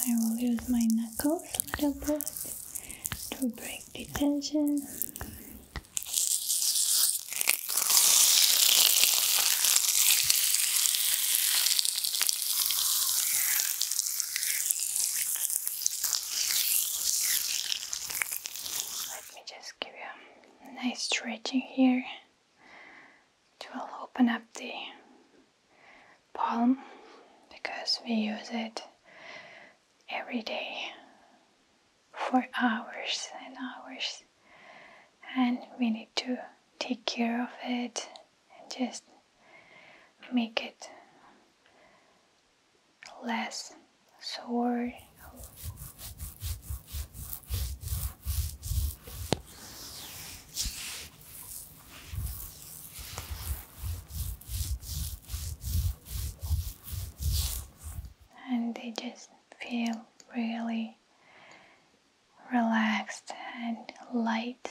I will use my knuckles a little bit to break the tension. Let me just give you nice stretching here. It will open up the palm because we use it every day for hours and hours and we need to take care of it and just make it less sword. And they just feel really relaxed and light.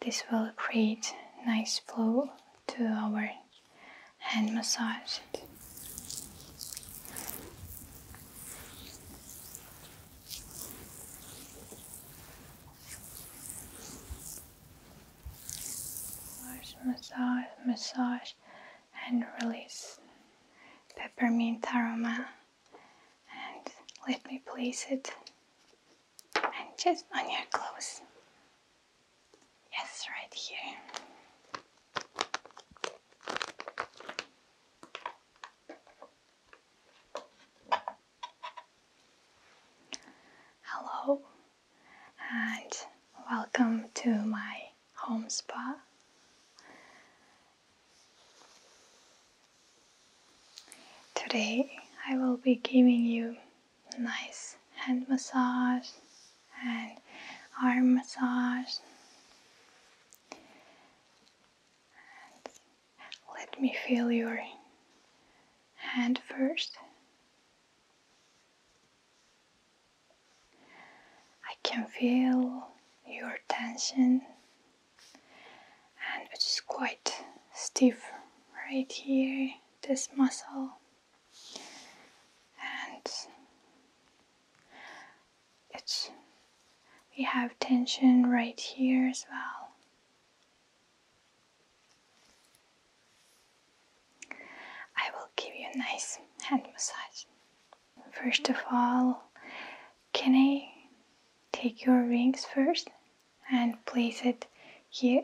This will create nice flow to our hand massage. Massage, massage, and release peppermint aroma and let me place it and just on your clothes. Yes, right here. Hello and welcome to my home spa. Today I will be giving you a nice hand massage and arm massage. let me feel your hand first. I can feel your tension, and it's quite stiff right here, this muscle, and it's we have tension right here as well. I will give you a nice hand massage. First of all, can I take your rings first and place it here?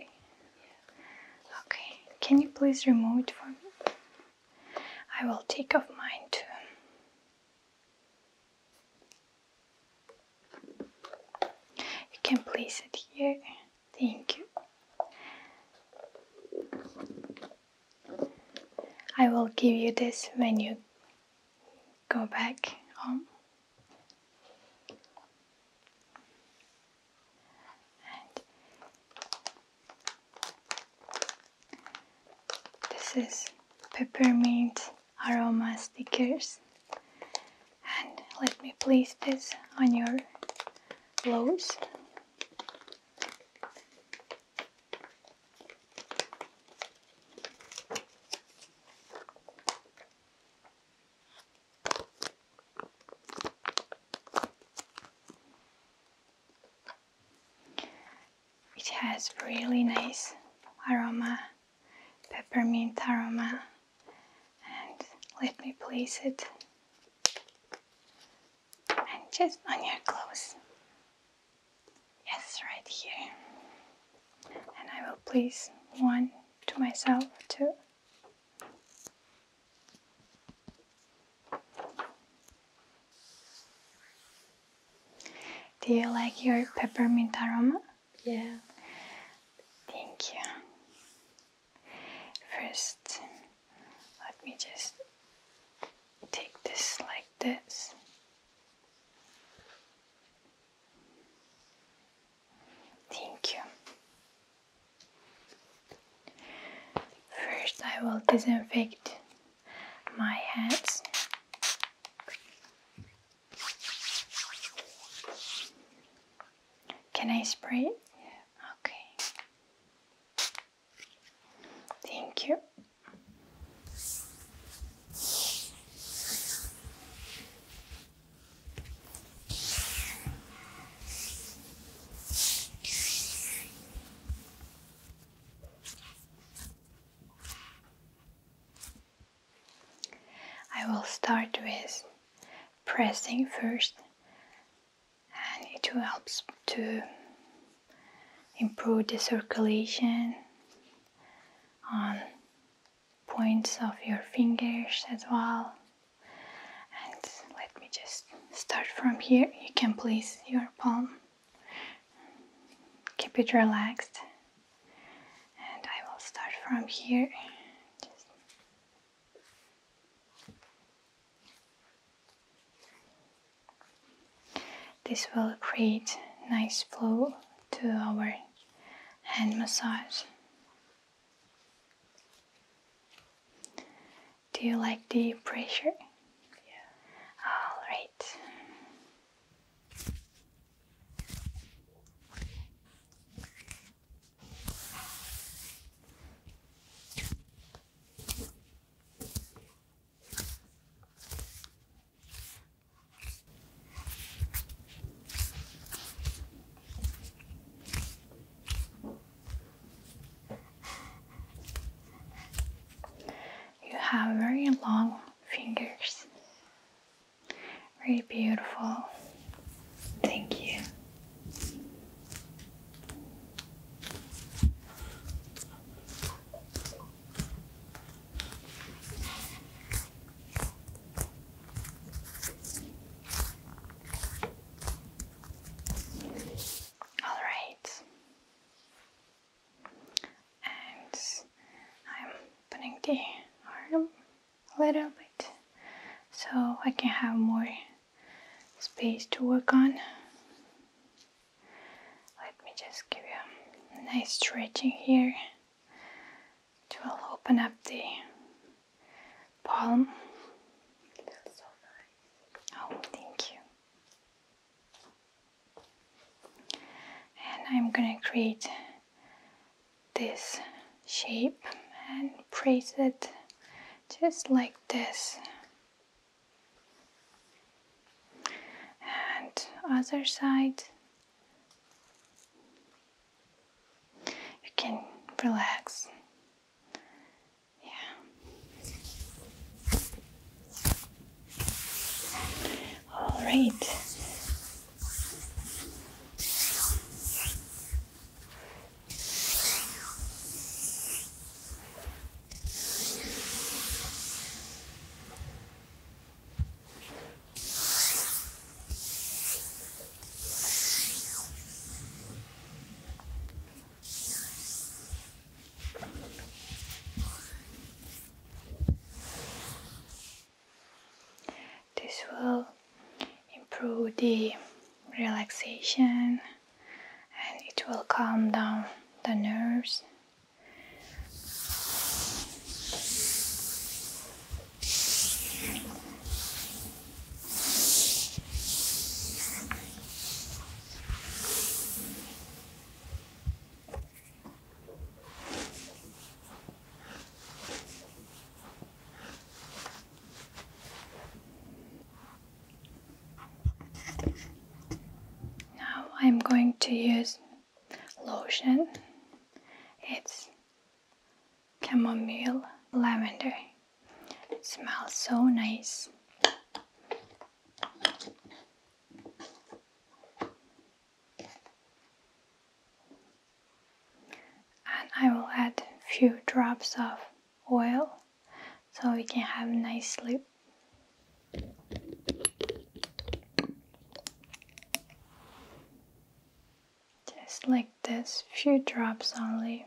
Okay, can you please remove it for me? I will take off mine too. You can place it here. Thank you. I will give you this when you go back home. this is peppermint aroma stickers. And let me place this on your clothes. It has really nice aroma, peppermint aroma, and let me place it and just on your clothes. Yes, right here. And I will place one to myself too. Do you like your peppermint aroma? Yeah. Thank you. First, let me just take this like this. Thank you. First, I will disinfect my hands. Can I spray it? Okay. Thank you. I will start with pressing first and it helps to improve the circulation on points of your fingers as well and let me just start from here you can place your palm keep it relaxed and I will start from here this will create nice flow to our hand massage. Do you like the pressure? Yeah. All right. You have very long fingers. Very beautiful. Thank you. All right, and I'm opening the arm a little bit so I can have more space to work on. Let me just give you a nice stretching here. It will open up the palm. Oh, thank you. And I'm gonna create this shape and press it just like this and other side you can relax yeah all right this will improve the relaxation and it will calm down the nerves. Now I'm going to use lotion. It's chamomile lavender. smells so nice. And I will add few drops of oil so we can have nice sleep. Just like this, few drops only.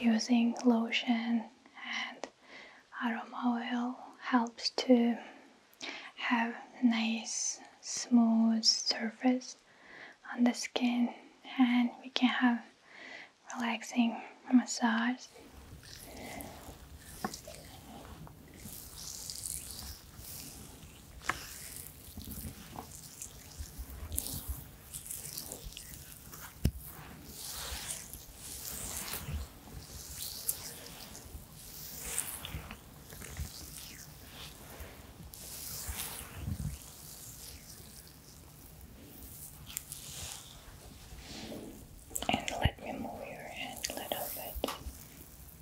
Using lotion and aroma oil helps to have nice smooth surface on the skin and we can have relaxing massage and let me move your hand a little bit.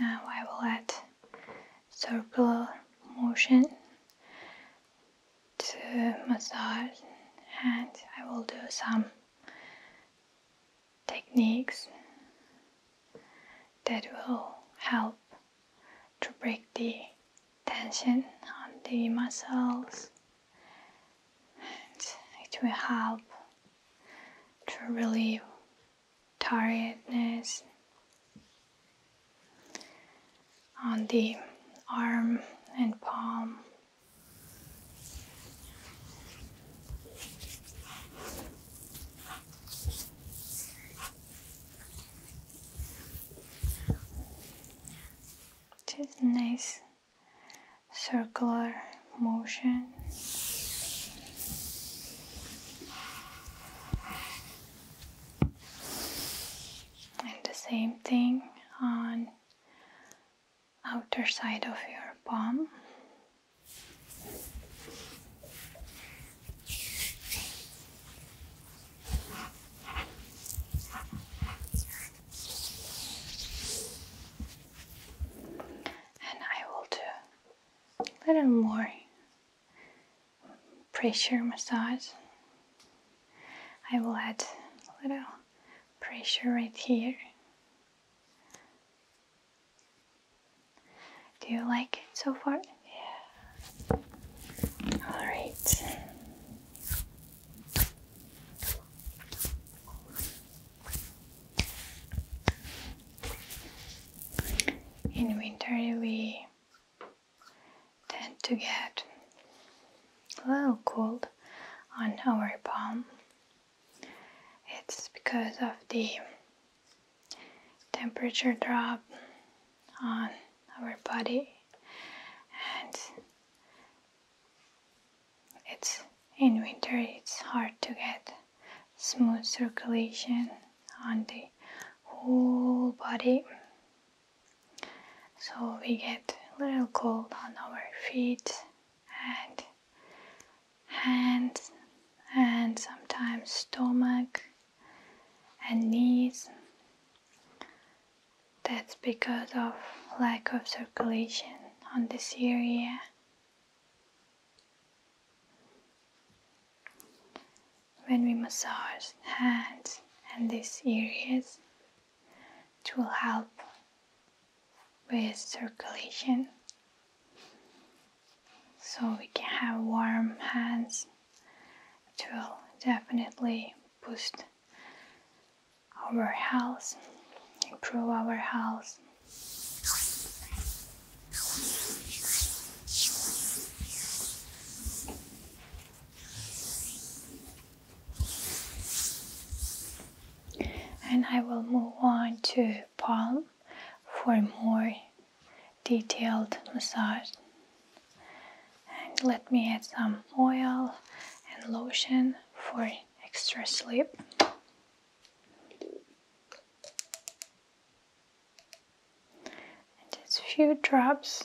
Now I will add circular motion to massage and I will do some techniques that will help to break the tension on the muscles and it will help to relieve tiredness on the arm and palm. Just nice circular motion. And the same thing on outer side of your palm and I will do a little more pressure massage. I will add a little pressure right here. Do you like so far? Yeah. All right. In winter, we tend to get a little cold on our palm. It's because of the temperature drop on our body it's in winter it's hard to get smooth circulation on the whole body so we get a little cold on our feet and hands and sometimes stomach and knees that's because of lack of circulation on this area when we massage hands and these areas, it will help with circulation so we can have warm hands. It will definitely boost our health, improve our health. And I will move on to palm for more detailed massage. And let me add some oil and lotion for extra slip and just a few drops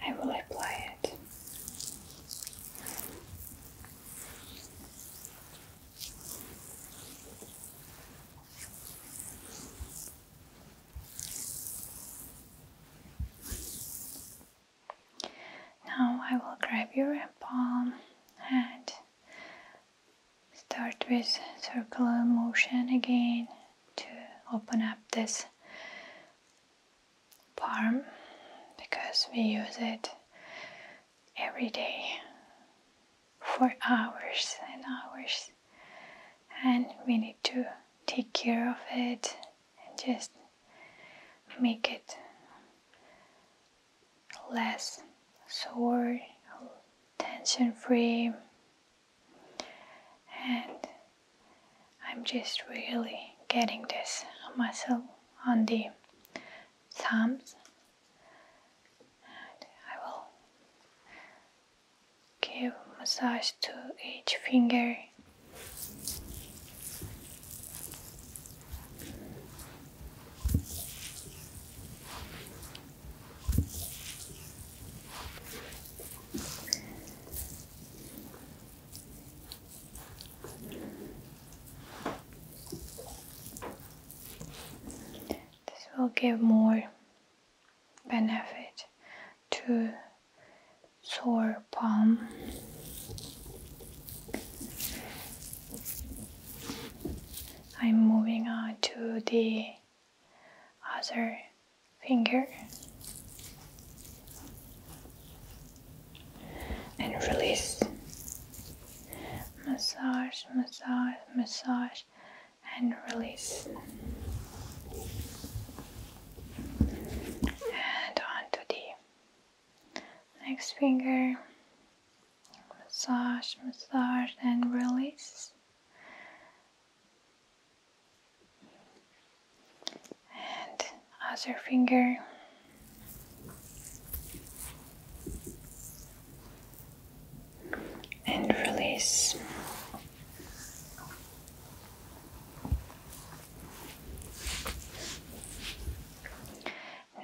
I will apply it. Now I will grab your palm and start with circular motion again to open up this palm because we use it every day for hours and hours and we need to take care of it and just make it less sore tension free and I'm just really getting this muscle on the thumbs I will give massage to each finger. This will give more benefit to sore palm. I'm moving on to the other finger and release massage, massage, massage, and release. And on the next finger. Massage, massage, and release. And other finger and release.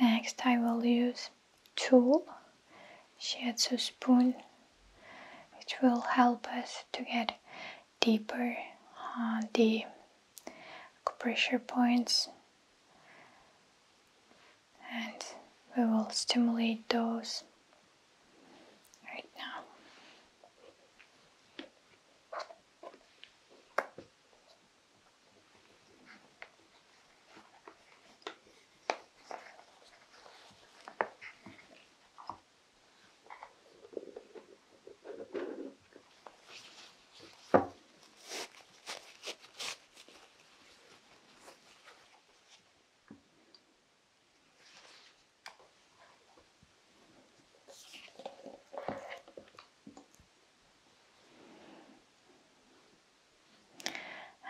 Next, I will use tool shiatsu spoon, which will help us to get deeper on the pressure points and we will stimulate those right now.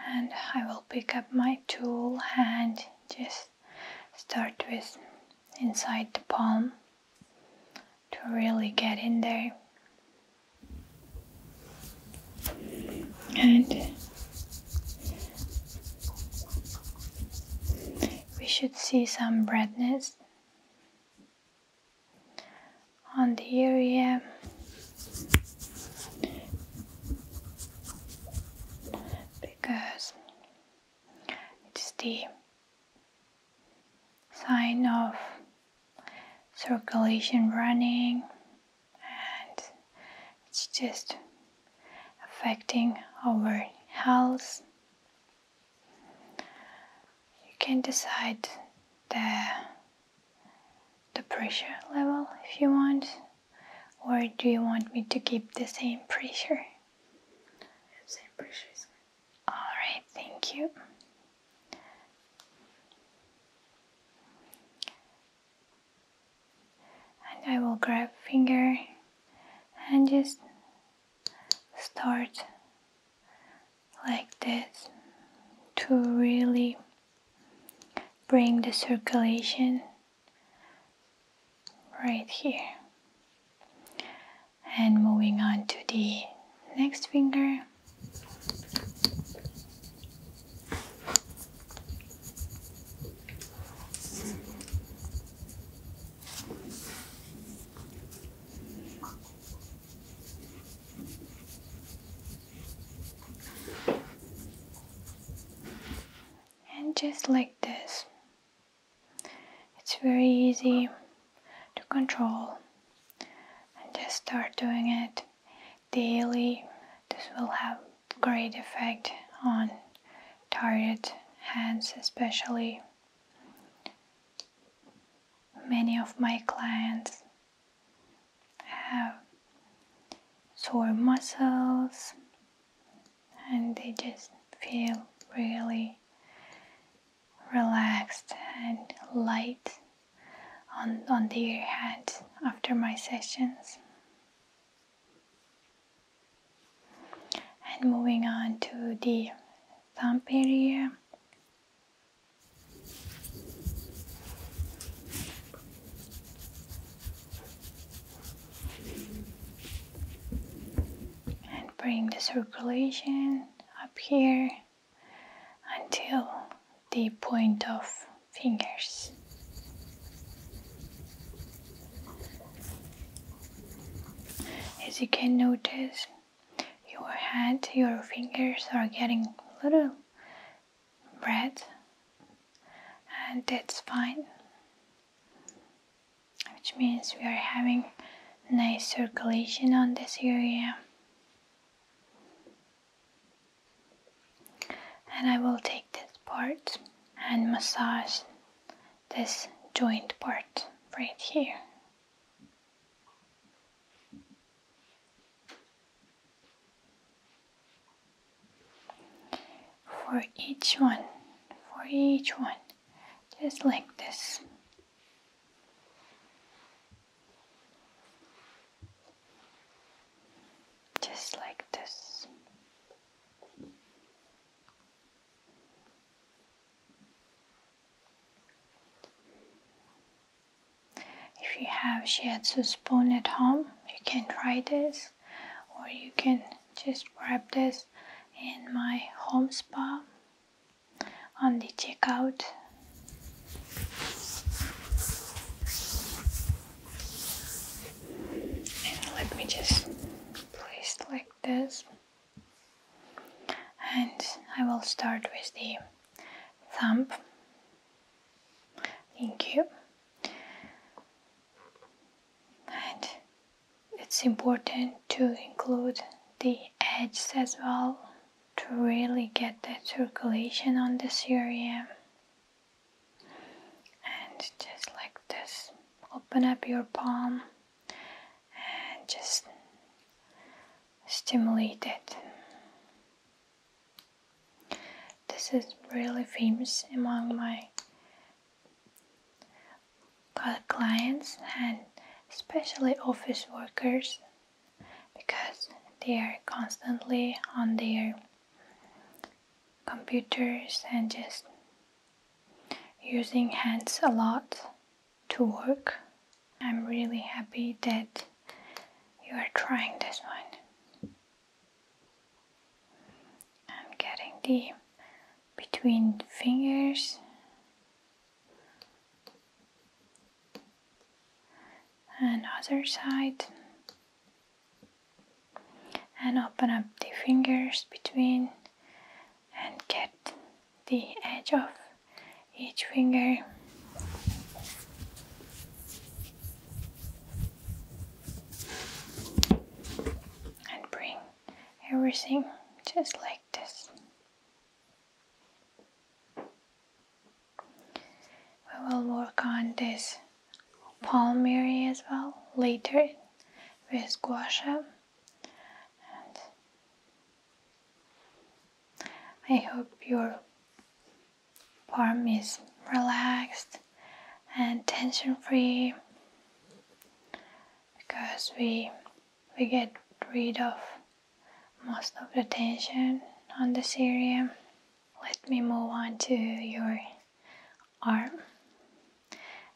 And I will pick up my tool and just start with inside the palm to really get in there and we should see some redness on the area because it's the sign of circulation running and it's just affecting our health you can decide the the pressure level if you want or do you want me to keep the same pressure same pressure all right thank you and I will grab finger and just start like this to really bring the circulation right here and moving on to the next finger and just like this, it's very easy to control and just start doing it daily. This will have great effect on tired hands especially. Many of my clients have sore muscles and they just feel really relaxed and light on, on the head after my sessions. And moving on to the thumb area. And bring the circulation up here until the point of fingers. As you can notice, your hand, your fingers are getting a little red, and that's fine, which means we are having nice circulation on this area. And I will take this part and massage this joint part right here. For each one, for each one, just like this. Just like this. If you have shiatsu spoon at home, you can try this, or you can just grab this in my home spa on the checkout. And let me just place like this. And I will start with the thumb. Thank you. And it's important to include the edges as well to really get that circulation on this area and just like this open up your palm and just stimulate it this is really famous among my clients and especially office workers because they are constantly on their computers and just using hands a lot to work. I'm really happy that you are trying this one. I'm getting the between fingers and other side and open up the fingers between and get the edge of each finger and bring everything just like this we will work on this palm area as well later with guasha. And I hope your palm is relaxed and tension free because we we get rid of most of the tension on the area. Let me move on to your arm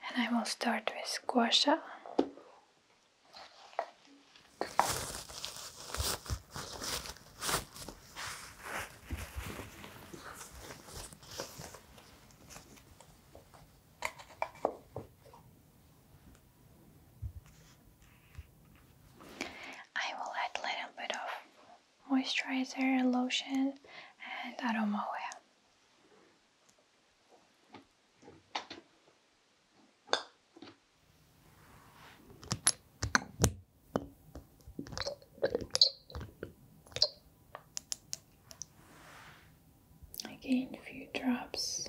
and I will start with squash I will add little bit of moisturizer, lotion and aroma oil. Again, a few drops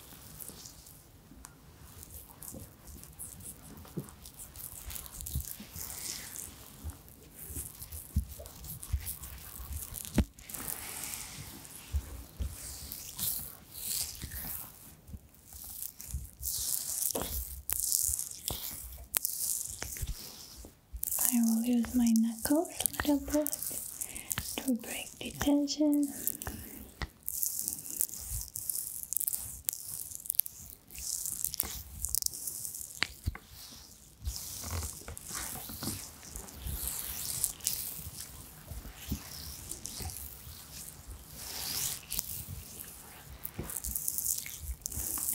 I will use my knuckles a little bit to break like detention.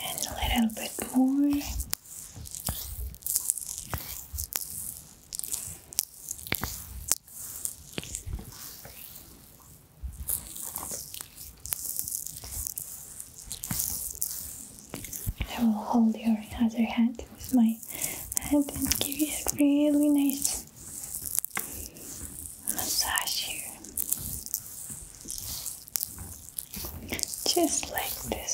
And a little bit more. I will hold your other hand with my hand and give you a really nice massage here. Just like this.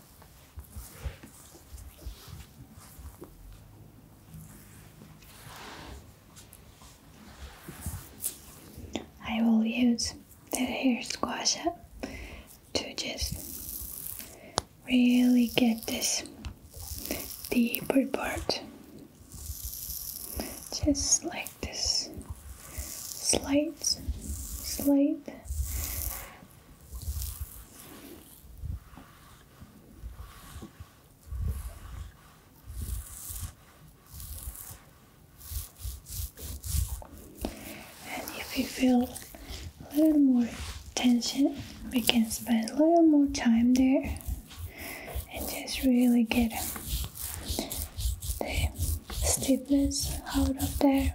I will use the hair squasher to just really get this deeper part just like this Slight, slight, And if you feel a little more tension, we can spend a little more time there and just really get the stiffness out of there.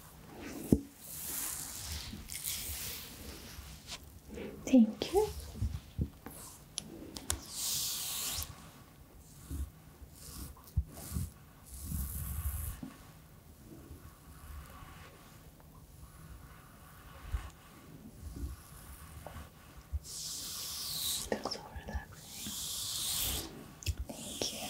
Thank you. so relaxing. Thank you.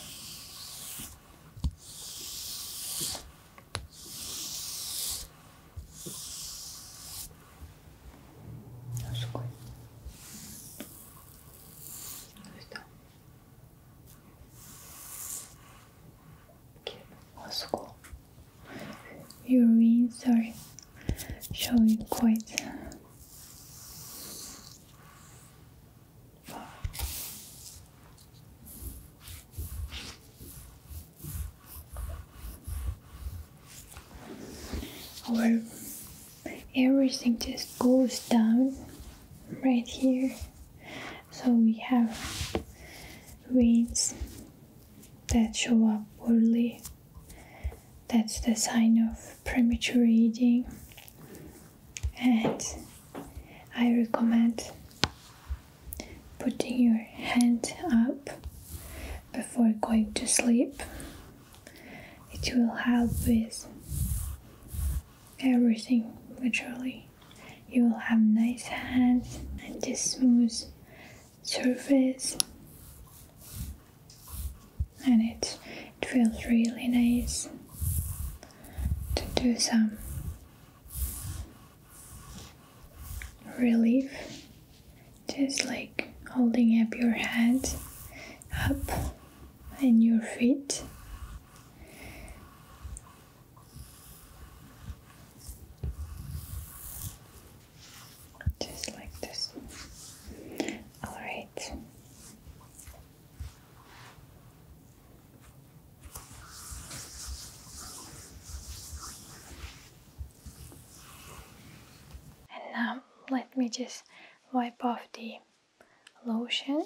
That's good. Good. Okay, let's Your wings are showing quite when everything just goes down right here, so we have veins that show up poorly. That's the sign of premature aging and I recommend putting your hand up before going to sleep. It will help with everything Actually, You will have nice hands and this smooth surface and it it feels really nice to do some relief, just like holding up your head up and your feet. Just like this. All right. And now um, let me just wipe off the lotion.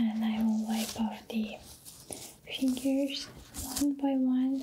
And I will wipe off the fingers one by one.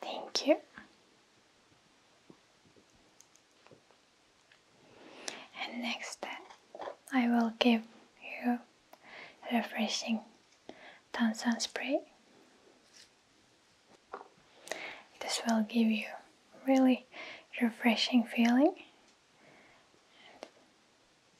Thank you. And next, I will give you refreshing Tansan spray. This will give you really refreshing feeling.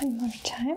And one more time.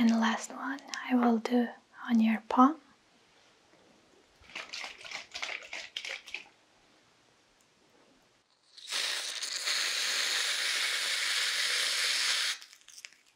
And last one I will do on your palm.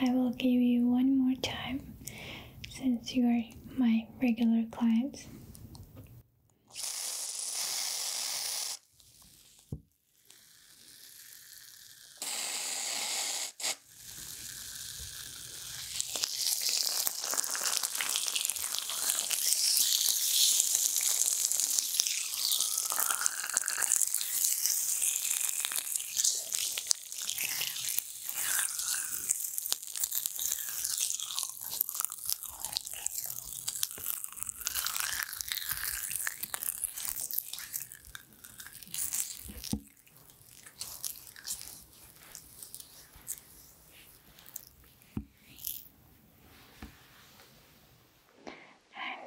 I will give you one more time since you are my regular clients.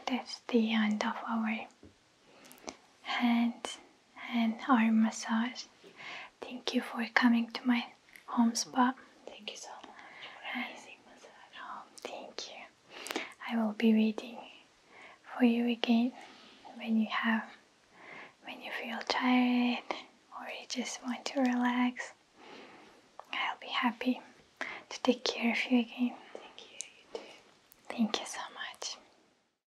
And that's the end of our hand and arm massage. Thank you for coming to my home spa. Thank you so much for amazing massage. Oh, thank you. I will be waiting for you again when you have when you feel tired or you just want to relax. I'll be happy to take care of you again. Thank you. Thank you so much.